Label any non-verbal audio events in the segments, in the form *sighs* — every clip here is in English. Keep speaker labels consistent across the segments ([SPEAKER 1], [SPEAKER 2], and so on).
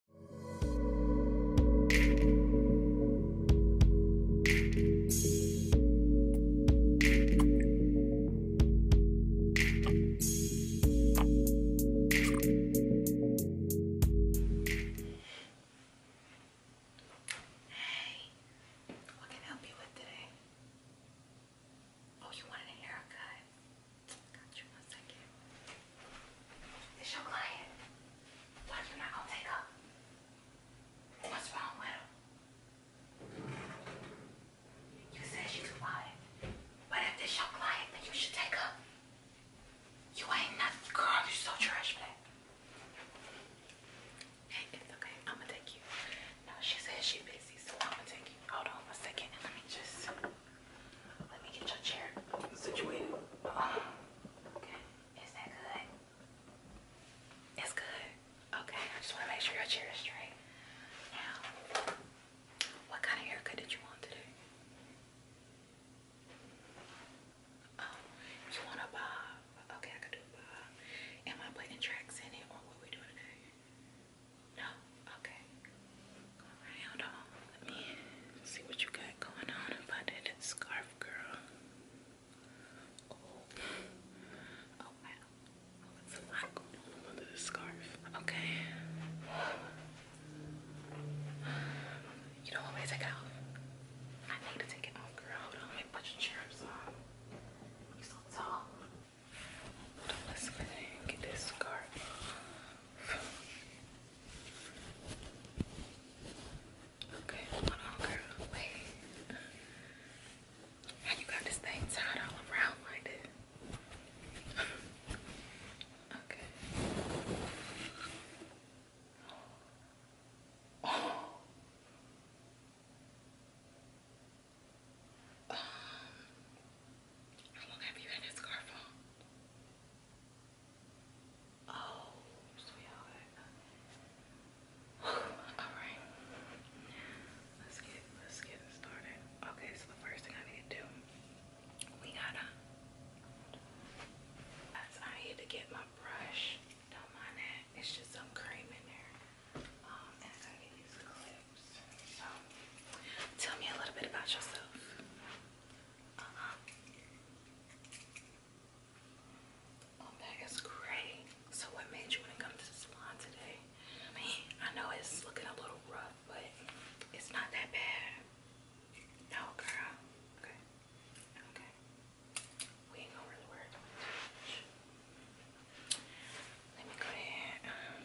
[SPEAKER 1] Hey, what can I help you with today? Oh, you wanted a haircut? Got your client. Why you not gonna take up? What's wrong with her? You said she's quiet. But if this your client, then you should take her. You ain't nothing, girl. You're so trash for Hey, it's okay. I'm gonna take you. No, she said she's busy, so I'm gonna take you. Hold on a second. Let me just. Let me get your chair situated. Oh, okay. Is that good? It's good. Okay. I just want to make sure your chair is straight. Now, what kind of haircut did you want today? Oh, you want a bob? Okay, I could do a bob. Am I putting tracks in it or what we doing today? No? Okay. Let me see what you got going on about that scarf, girl. Oh, oh wow. Oh, a lot going on under the scarf. Okay. You don't want me to take it off? I need to take it off, girl. put your chairs on. You're so tall. let's get this scarf. Okay, hold on, girl. Wait. How you got this thing tied all around like this? okay. Um, how long have you had this scarf on? Oh, Alright. *laughs* Let's get let's get started. Okay, so the first thing I need to do, we gotta I need to get my brush. Don't mind that. It's just some cream in there. Um, and I need these clips. So tell me a little bit about yourself that uh-huh. is great. So what made you want to come to the salon today? I mean, I know it's looking a little rough, but it's not that bad. No, girl. Okay. Okay. We ain't gonna really worry about it. Let me go ahead. Um,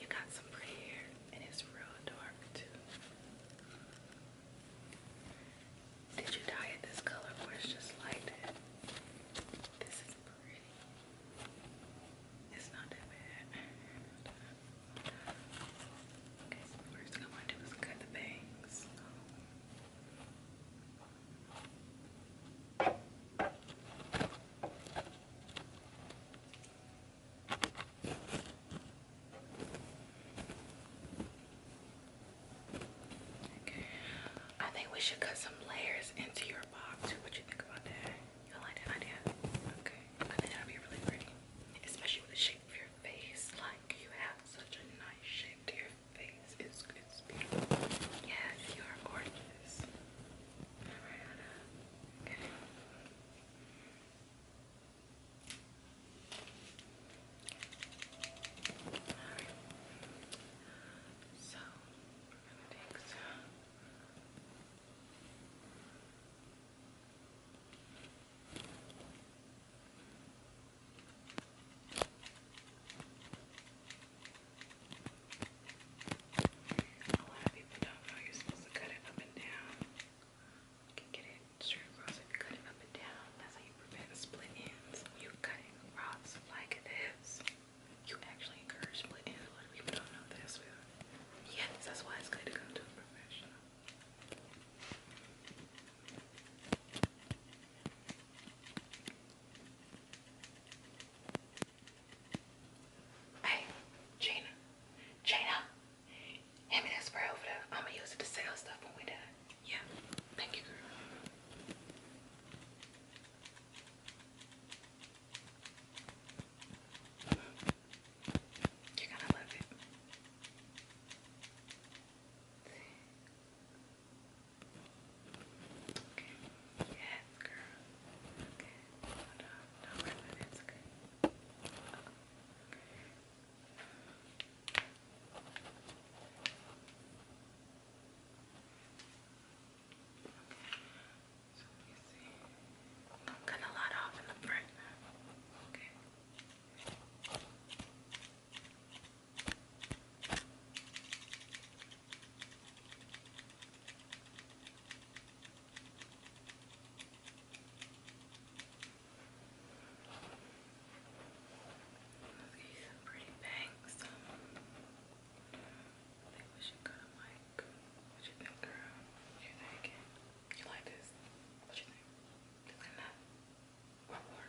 [SPEAKER 1] You got some pretty hair, and it's real dark too. Did you dye it this color or just like This is pretty. It's not that bad. Okay, so first thing I want to do is cut the bangs. I think we should cut some layers into your box. What you think about that? You like that idea? Okay. I think that'd be really pretty. Especially with the shape of your face. Like you have such a nice shape to your your face is it's beautiful. Yes, you are gorgeous. Alright. So we're gonna take a lot of people don't know you're supposed to cut it up and down. can get it straight across cut it up and down. That's how you prevent split ends. You cut it across like this. You actually encourage split ends. A lot of people don't know this. Yes, that's why it's good to come to professional. Hey, Gina. Gina. Hand me that spray over there. I'm gonna use it to sell stuff when we're Yeah. Thank you, girl. You're gonna love it. Yes, girl. Okay. Hold No, wait a minute. It's okay. Uh -oh. Okay. So let me see. I'm gonna lot off in the front Okay. These are pretty bangs. Um, I think we should go to Mike. What you think, girl? What you think? You like this? What you think? This and that? What more?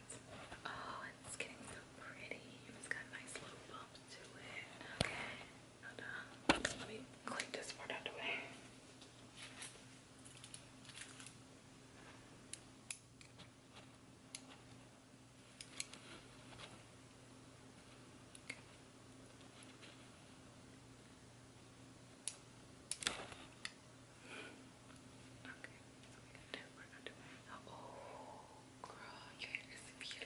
[SPEAKER 1] that. Oh, it's getting so pretty. It's got nice little bumps to it. Okay, hold on. Let me click this part out the way. Okay, so we got that oh, beautiful. Yes, girl.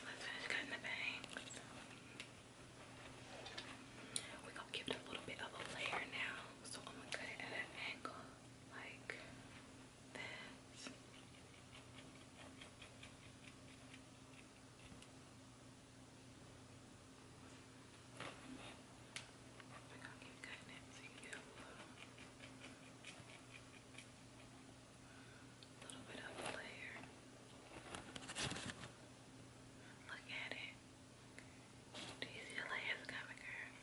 [SPEAKER 1] Let's finish cutting the bangs. We're gonna give it a little bit of a layer now. So I'm gonna cut it at an angle like this. I'm gonna keep cutting it so you get a little, little bit of a layer. Look at it. Do you see the layers coming, girl?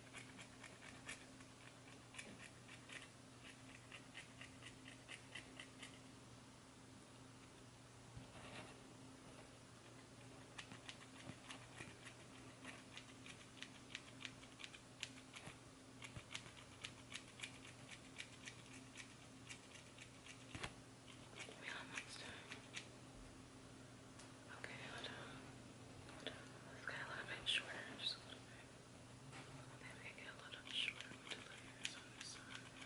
[SPEAKER 1] on next time. Okay, hold on. Hold on. Let's get a little bit shorter. Just a little bit. Maybe I get a little shorter with the layers on this side. Okay.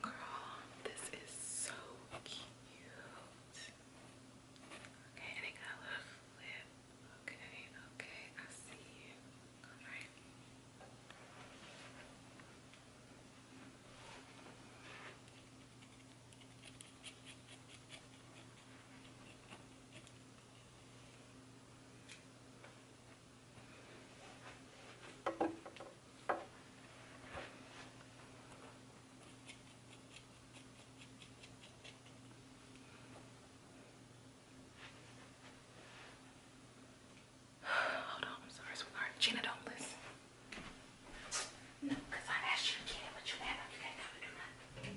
[SPEAKER 1] Girl, this is so cute. Okay, and it Okay, I see you. Alright. *sighs* Hold on, I'm sorry, sweetheart. Gina, don't listen. No, because I asked you to get it, but you act like you can't come and do nothing.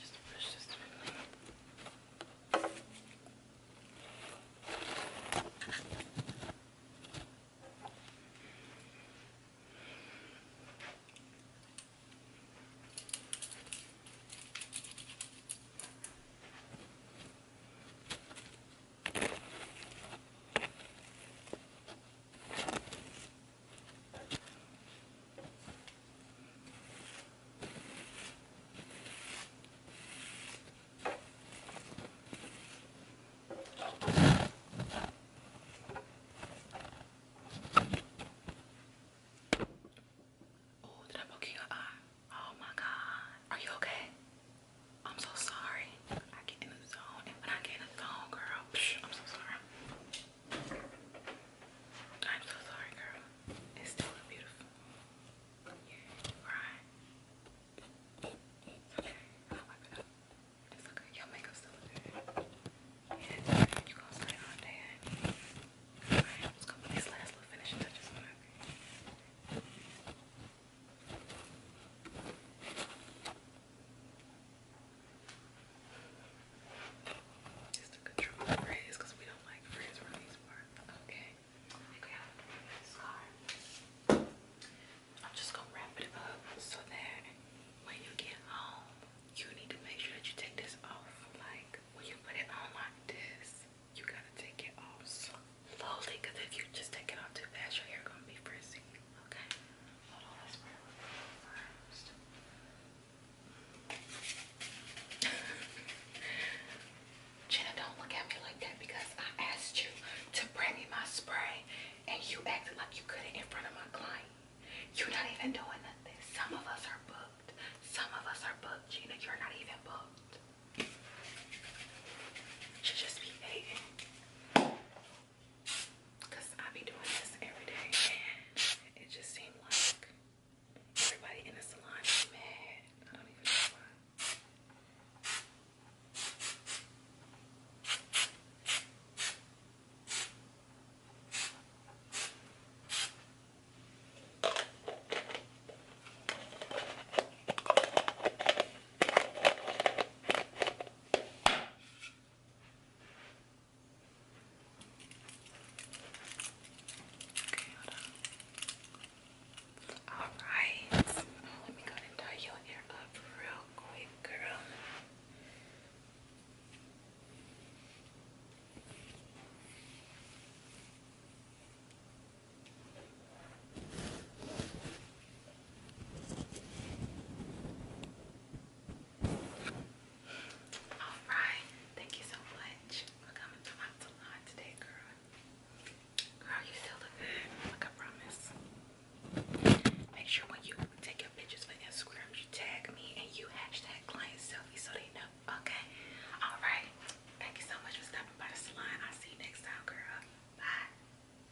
[SPEAKER 1] Just push this through. Okay. Oh, did I poke your eye? Ah, oh my God. Are you okay? I'm so sorry. I get in the zone, when I get in the zone, girl, I'm so sorry. I'm so sorry, girl. It's still beautiful. Yeah, right. It's okay. Your makeup's still good. Yeah, you gonna stay all day. Alright, I'm just gonna touches on it. Just to control the frizz because we don't like frizz from these parts. Okay. Grab the I'm just gonna wrap it up so that when you get home, you need to make sure that you take this off. Like when you put it on like this, you gotta take it off slowly because if you just take it off too fast, your hair gonna be frizzy. Okay, *laughs* don't look at me like that because I asked you to bring me my spray and you acted like you couldn't in front of my client. You're not even doing nothing. Some of us are booked. Some of us are booked. Gina, you're not even booked. Should just be hating. Cause I be doing this every day and it just seemed like everybody in the salon is mad. I don't even know why. Alright, oh, let me go and tie your hair up real quick, girl. All right, thank you so much for coming to my salon today, girl. Girl, you still look good. Like I promise. Make sure when you take your pictures for Instagram, you tag me and you hashtag client selfie so they know. Okay. All right. Thank you so much for stopping by the salon. I'll see you next time, girl. Bye.